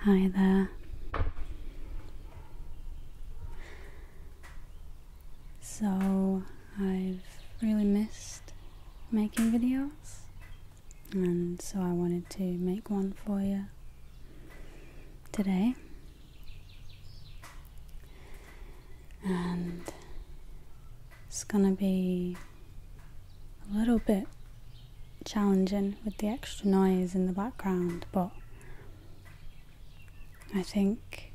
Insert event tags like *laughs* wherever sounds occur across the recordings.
Hi there. So, I've really missed making videos, and so I wanted to make one for you today. And it's gonna be a little bit challenging with the extra noise in the background, but I think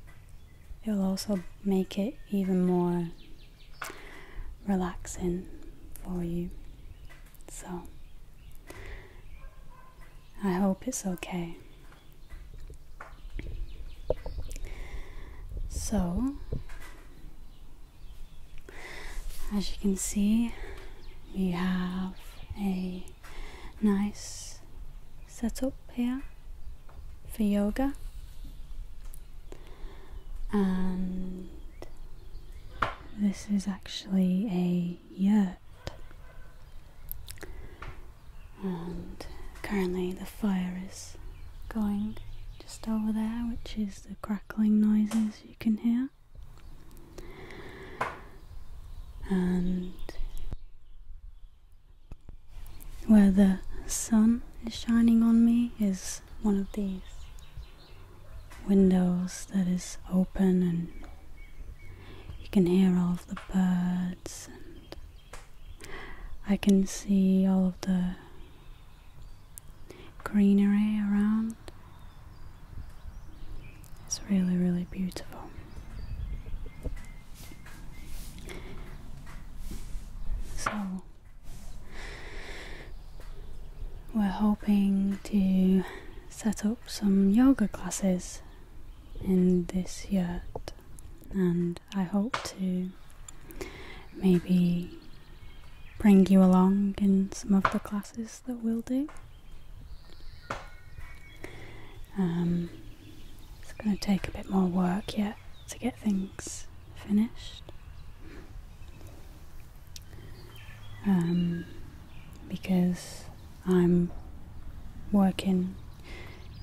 it'll also make it even more relaxing for you. So, I hope it's okay. So, as you can see, we have a nice setup here for yoga and this is actually a yurt and currently the fire is going just over there which is the crackling noises you can hear. And where the sun is shining on me is one of these windows that is open and you can hear all of the birds and I can see all of the greenery around. It's really, really beautiful. So, we're hoping to set up some yoga classes in this yurt, and I hope to maybe bring you along in some of the classes that we'll do. Um, it's going to take a bit more work yet to get things finished. Um, because I'm working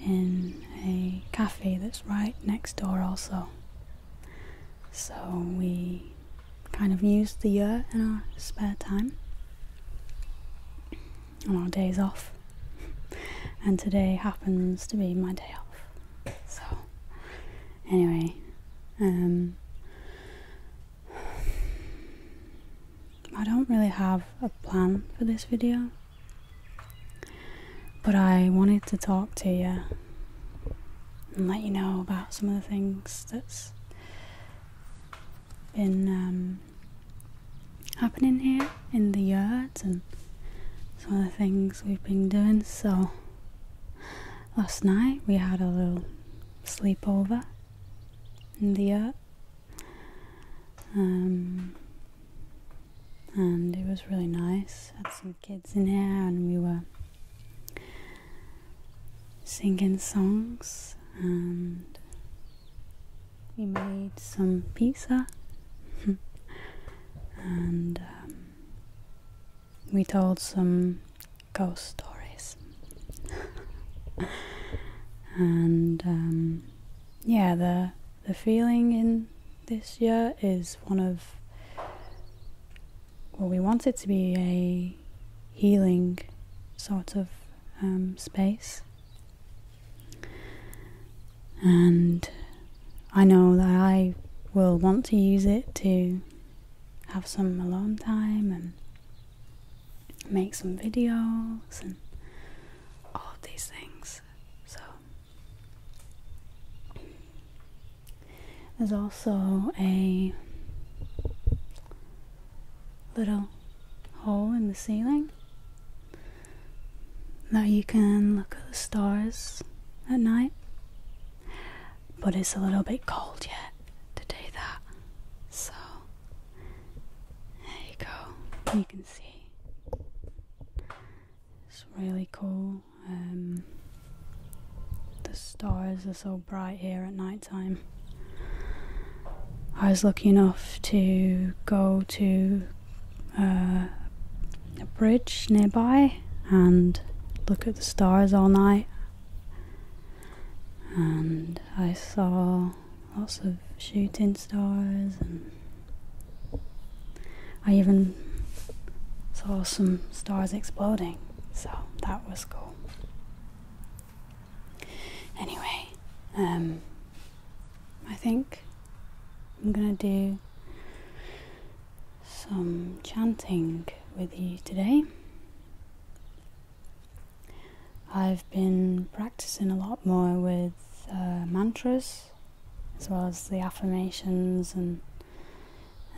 in a cafe that's right next door also so we kind of used the year in our spare time, on our days off, and today happens to be my day off. So, anyway, um, I don't really have a plan for this video. But I wanted to talk to you and let you know about some of the things that's been um, happening here in the yard and some of the things we've been doing. So, last night we had a little sleepover in the yard. Um, and it was really nice kids in here and we were singing songs and we made some pizza *laughs* and um, we told some ghost stories *laughs* and um, yeah the the feeling in this year is one of well, we want it to be a healing sort of um, space. And I know that I will want to use it to have some alone time and make some videos and all of these things. So there's also a little hole in the ceiling that you can look at the stars at night. But it's a little bit cold yet to do that. So there you go. You can see. It's really cool. Um, the stars are so bright here at night time. I was lucky enough to go to uh, a bridge nearby and look at the stars all night. And I saw lots of shooting stars and I even saw some stars exploding, so that was cool. Anyway, um, I think I'm gonna do some chanting with you today. I've been practicing a lot more with uh, mantras as well as the affirmations and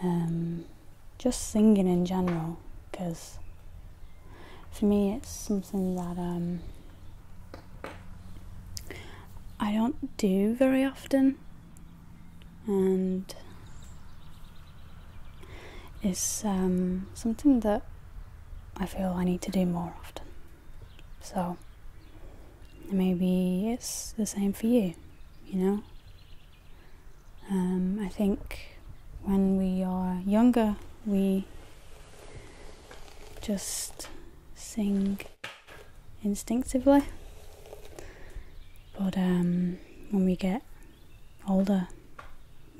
um, just singing in general because for me it's something that um, I don't do very often and is um, something that I feel I need to do more often. So maybe it's the same for you, you know. Um, I think when we are younger, we just sing instinctively, but um, when we get older,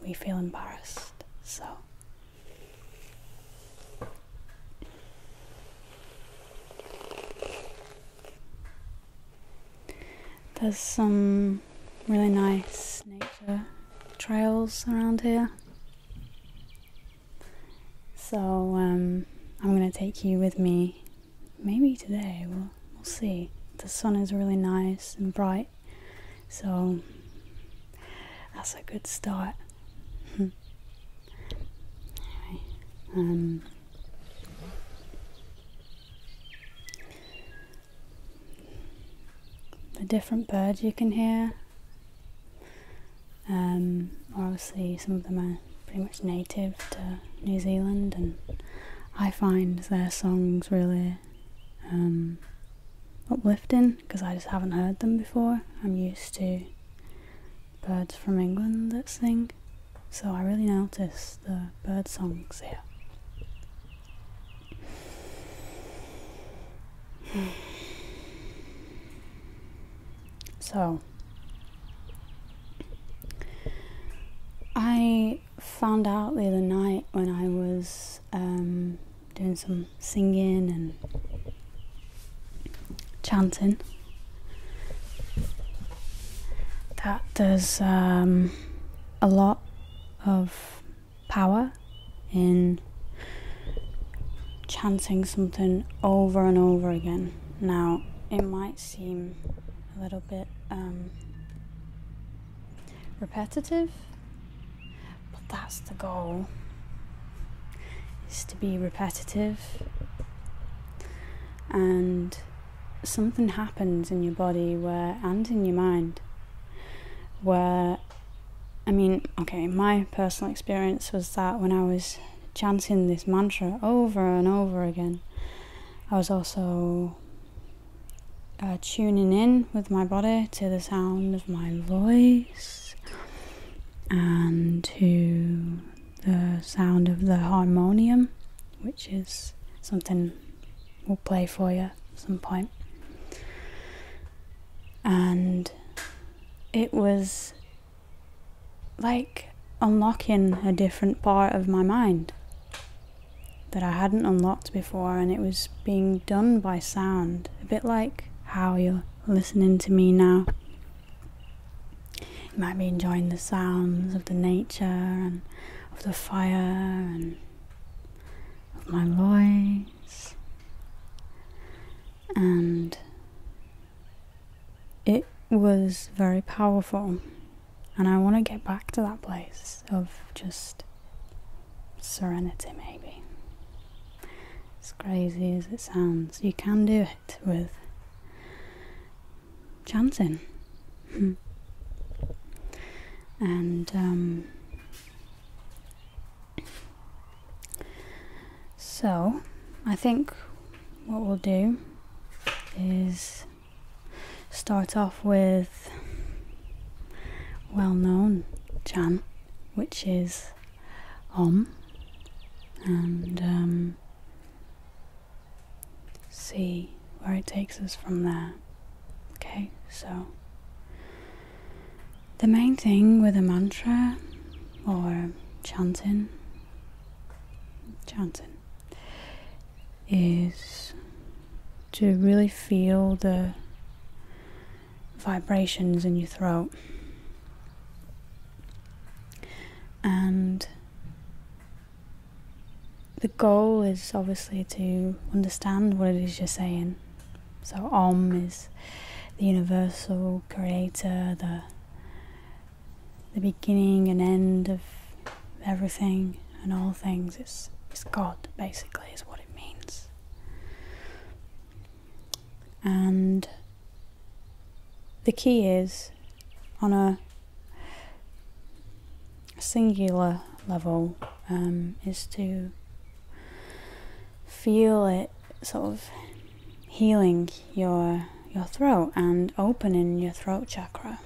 we feel embarrassed. So. There's some really nice nature trails around here. So um, I'm going to take you with me maybe today, we'll, see. The sun is really nice and bright, so that's a good start. *laughs* Um, the different birds you can hear. Um, obviously, some of them are pretty much native to New Zealand, and I find their songs really um, uplifting because I just haven't heard them before. I'm used to birds from England that sing. So I really notice the bird songs here. So I found out the other night when I was um, doing some singing and chanting that does um, a lot of power in chanting something over and over again. Now, it might seem a little bit um, repetitive, but that's the goal is to be repetitive and something happens in your body where and in your mind where I mean, okay, my personal experience was that when I was chanting this mantra over and over again, I was also uh, tuning in with my body to the sound of my voice and to the sound of the harmonium, which is something we'll play for you at some point. And it was like unlocking a different part of my mind that I hadn't unlocked before, and it was being done by sound, a bit like how you're listening to me now. You might be enjoying the sounds of the nature and of the fire and of my voice. And it was very powerful. And I want to get back to that place of just serenity, maybe. As crazy as it sounds, you can do it with chanting. Hmm. and um, so I think what we'll do is start off with well known chant, which is Om, and um, see where it takes us from there. Okay, so the main thing with a mantra or chanting, chanting, is to really feel the vibrations in your throat. And the goal is obviously to understand what it is you're saying. So, Om is the universal creator, the the beginning and end of everything and all things. It's it's God basically is what it means. And the key is on a singular level um, is to feel it sort of healing your your throat and opening your throat chakra.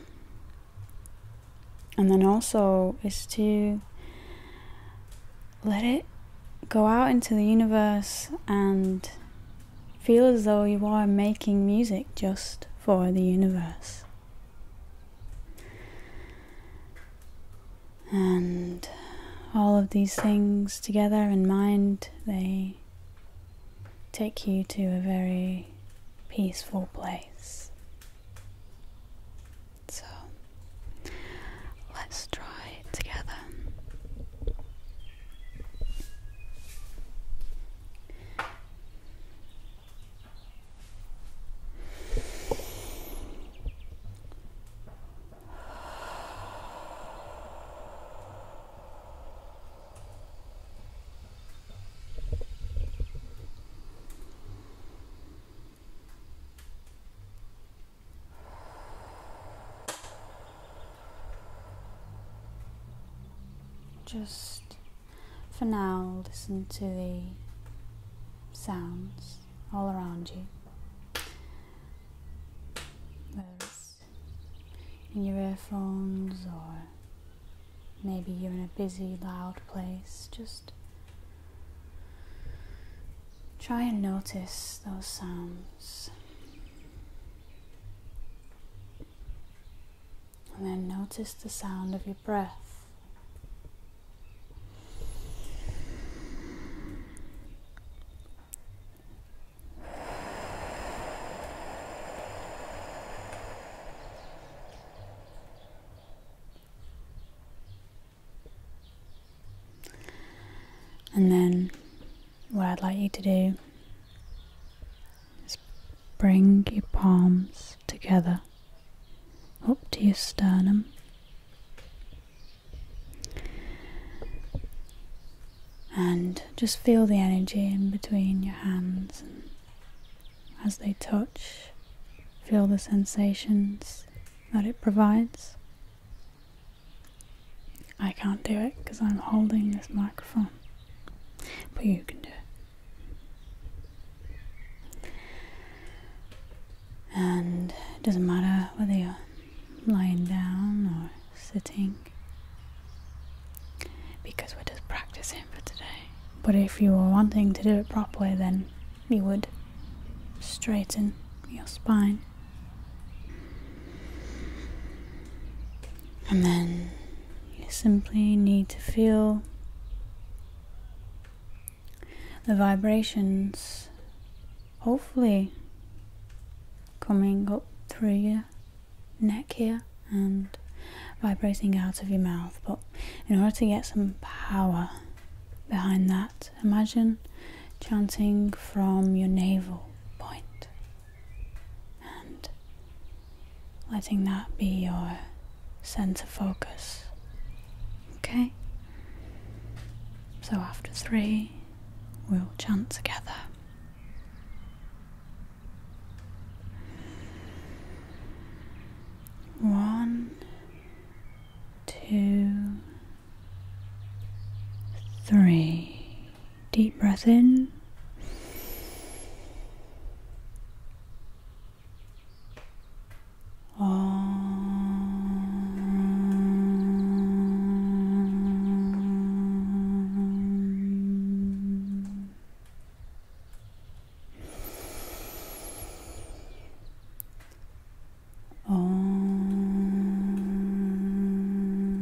And then also is to let it go out into the universe and Feel as though you are making music just for the universe. And all of these things together in mind, they take you to a very peaceful place. So let's try together. Just for now, listen to the sounds all around you. Whether it's in your earphones or maybe you're in a busy, loud place, just try and notice those sounds. And then notice the sound of your breath. And then what I'd like you to do is bring your palms together up to your sternum. And just feel the energy in between your hands as they touch. Feel the sensations that it provides. I can't do it because I'm holding this microphone. But you can do it. And it doesn't matter whether you're lying down or sitting because we're just practicing for today. But if you were wanting to do it properly, then you would straighten your spine and then you simply need to feel the vibrations, hopefully, coming up through your neck here and vibrating out of your mouth. But in order to get some power behind that, imagine chanting from your navel point and letting that be your sense of focus. Okay? So after three, we'll chant together. One, two, three. Deep breath in. Om. Om.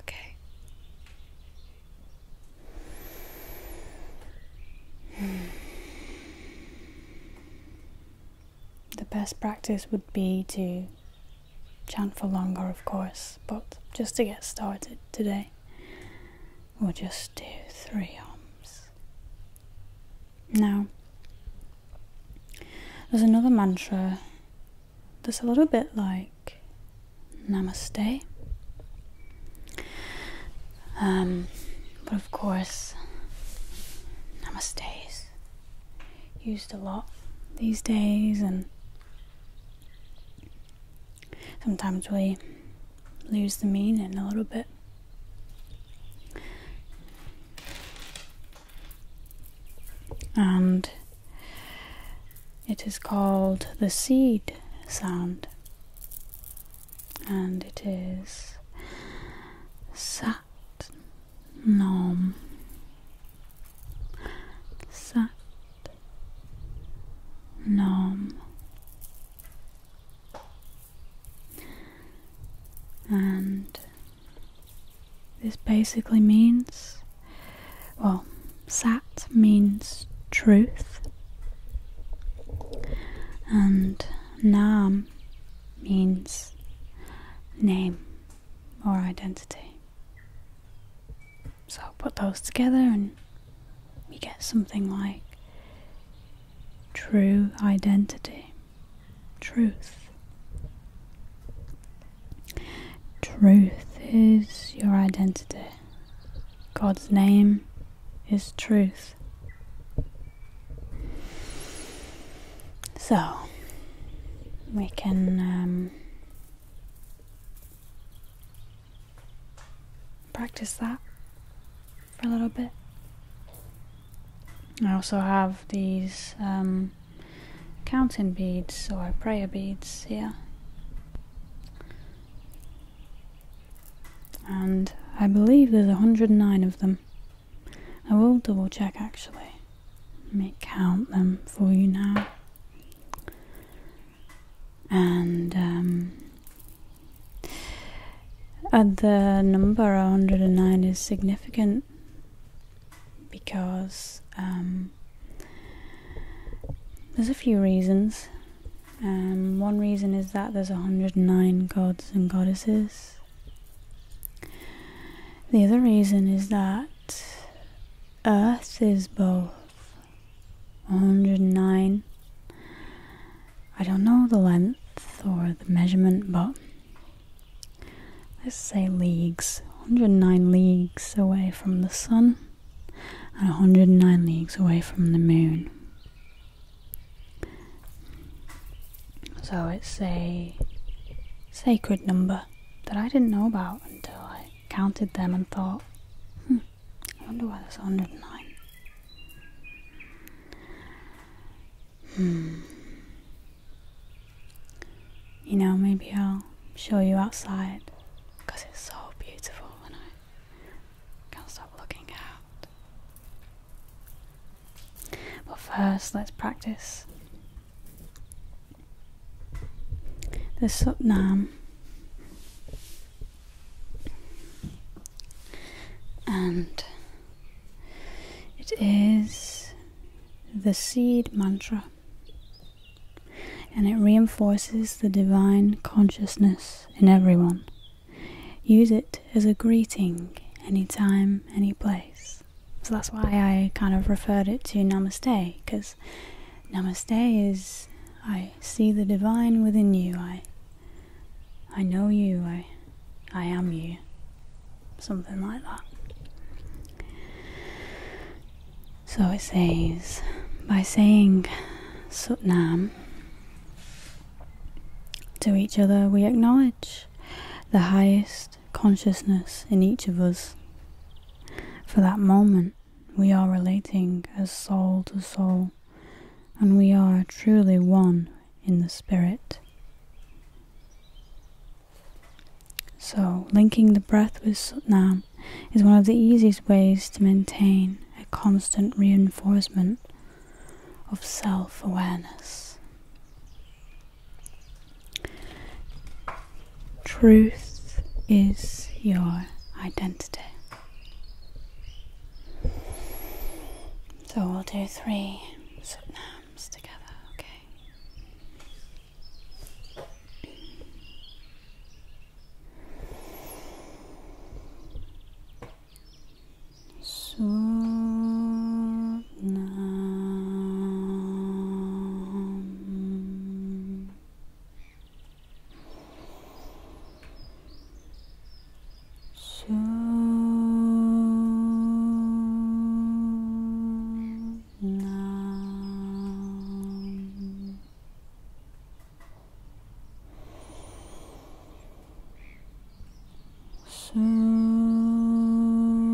Okay. The best practice would be to chant for longer, of course, but just to get started today, we'll just do three arms. Now, there's another mantra that's a little bit like namaste. Um, but of course, namaste is used a lot these days, and sometimes we lose the meaning a little bit. And it is called the seed sound, and it is sat nom sat nom. And this basically means, well, Sat means truth, and Nam means name or identity. So I'll put those together and we get something like true identity, truth. Truth is your identity. God's name is truth. So, we can um, practice that for a little bit. I also have these um, counting beads or prayer beads here. And I believe there's 109 of them. I will double check actually. Let me count them for you now. And um, uh, the number 109 is significant because um, there's a few reasons. Um, one reason is that there's 109 gods and goddesses. The other reason is that Earth is both 109. I don't know the length or the measurement, but let's say leagues, 109 leagues away from the sun and 109 leagues away from the moon. So it's a sacred number that I didn't know about until I counted them and thought, hmm, I wonder why there's 109. Hmm. You know, maybe I'll show you outside because it's so beautiful and I can't stop looking out. But first, let's practice. The Sutnam. And it is the seed mantra and it reinforces the divine consciousness in everyone. Use it as a greeting anytime, any place. So that's why I kind of referred it to Namaste, because Namaste is I see the divine within you. I I know you. I I am you. Something like that. So it says by saying Sutnam to each other, we acknowledge the highest consciousness in each of us. For that moment, we are relating as soul to soul, and we are truly one in the spirit. So, linking the breath with Sutnam is one of the easiest ways to maintain a constant reinforcement of self awareness. Truth is your identity. So we'll do three sutnams together, okay? Surnam. Surnam. Nam. Nam.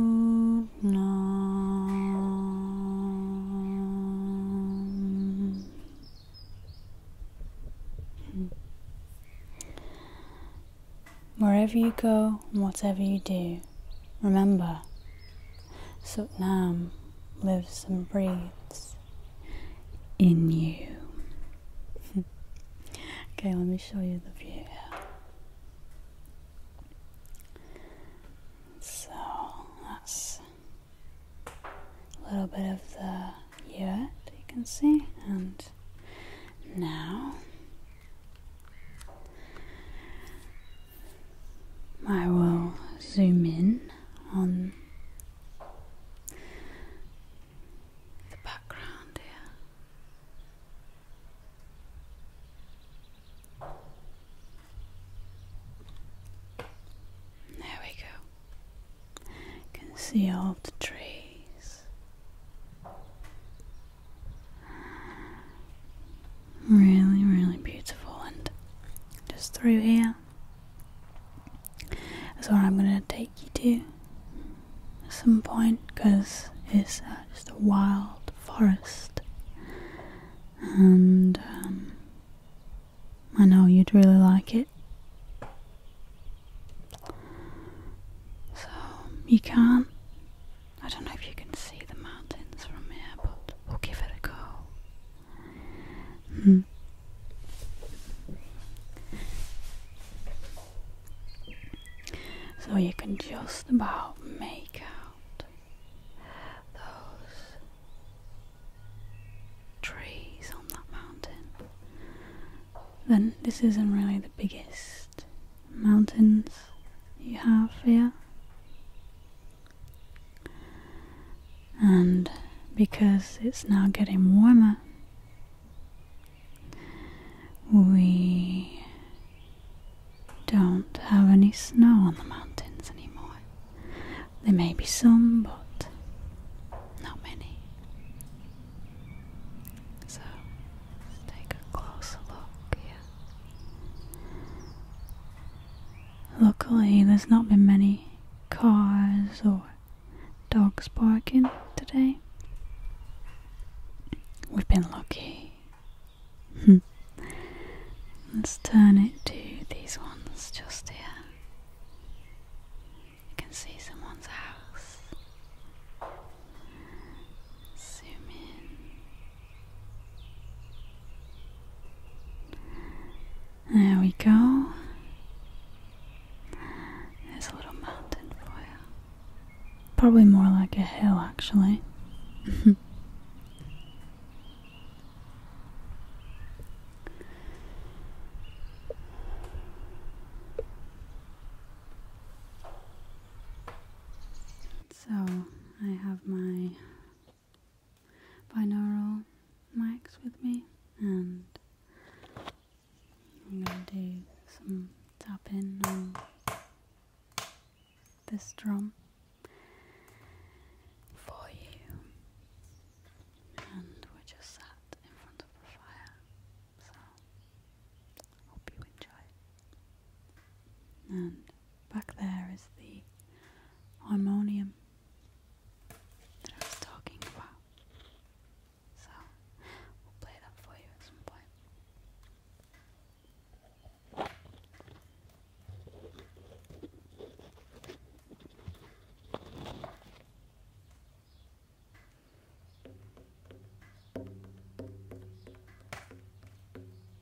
Wherever you go, whatever you do, Remember, Sutnam lives and breathes in you. *laughs* okay, let me show you the view So that's a little bit of the yurt you can see, and now I will zoom in on the background here. There we go. You can see all the trees. Really, really beautiful. And just through here is where I'm going to take you to at some point because it's uh, just a wild forest. And um, I know you'd really like it. So you can I don't know if you can see the mountains from here, but we'll give it a go. Hmm. So you can just about make out those trees on that mountain. Then this isn't really the biggest mountains you have here. And because it's now getting warmer, we don't have any snow on the mountains anymore. There may be some, but not many. So take a closer look here. Luckily, there's not been many cars or dogs barking today. We've been lucky. Hmm. Let's turn it to these ones just here. You can see someone's house. Zoom in. There we go. There's a little mountain for you. Probably more like a hill, actually. So I have my binaural mics with me and I'm gonna do some tapping on this drum for you and we just sat in front of a fire so Hope you enjoy. And back there is the harmonium that I was talking about. So we'll play that for you at some point.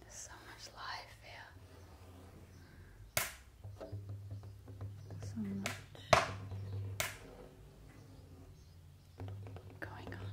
There's so much life here. So much going on.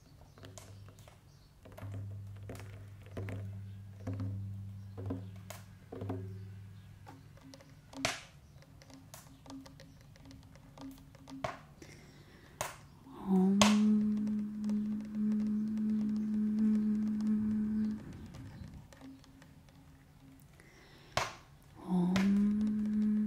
Om. Om.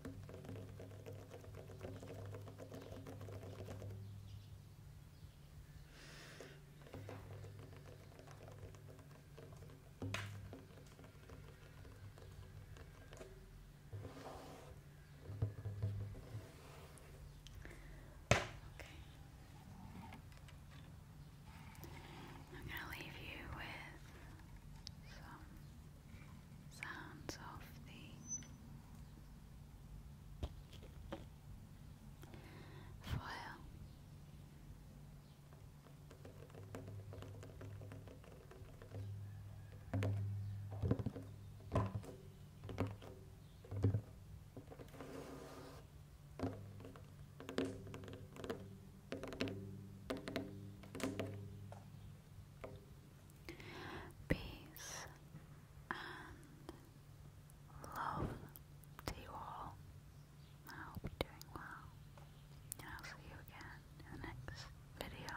Okay. I'm going to leave you with some sounds of the foil. Peace and love to you all. I hope you're doing well. And I'll see you again in the next video.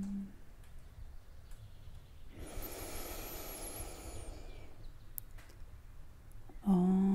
Oh. um,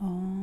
Om. Om.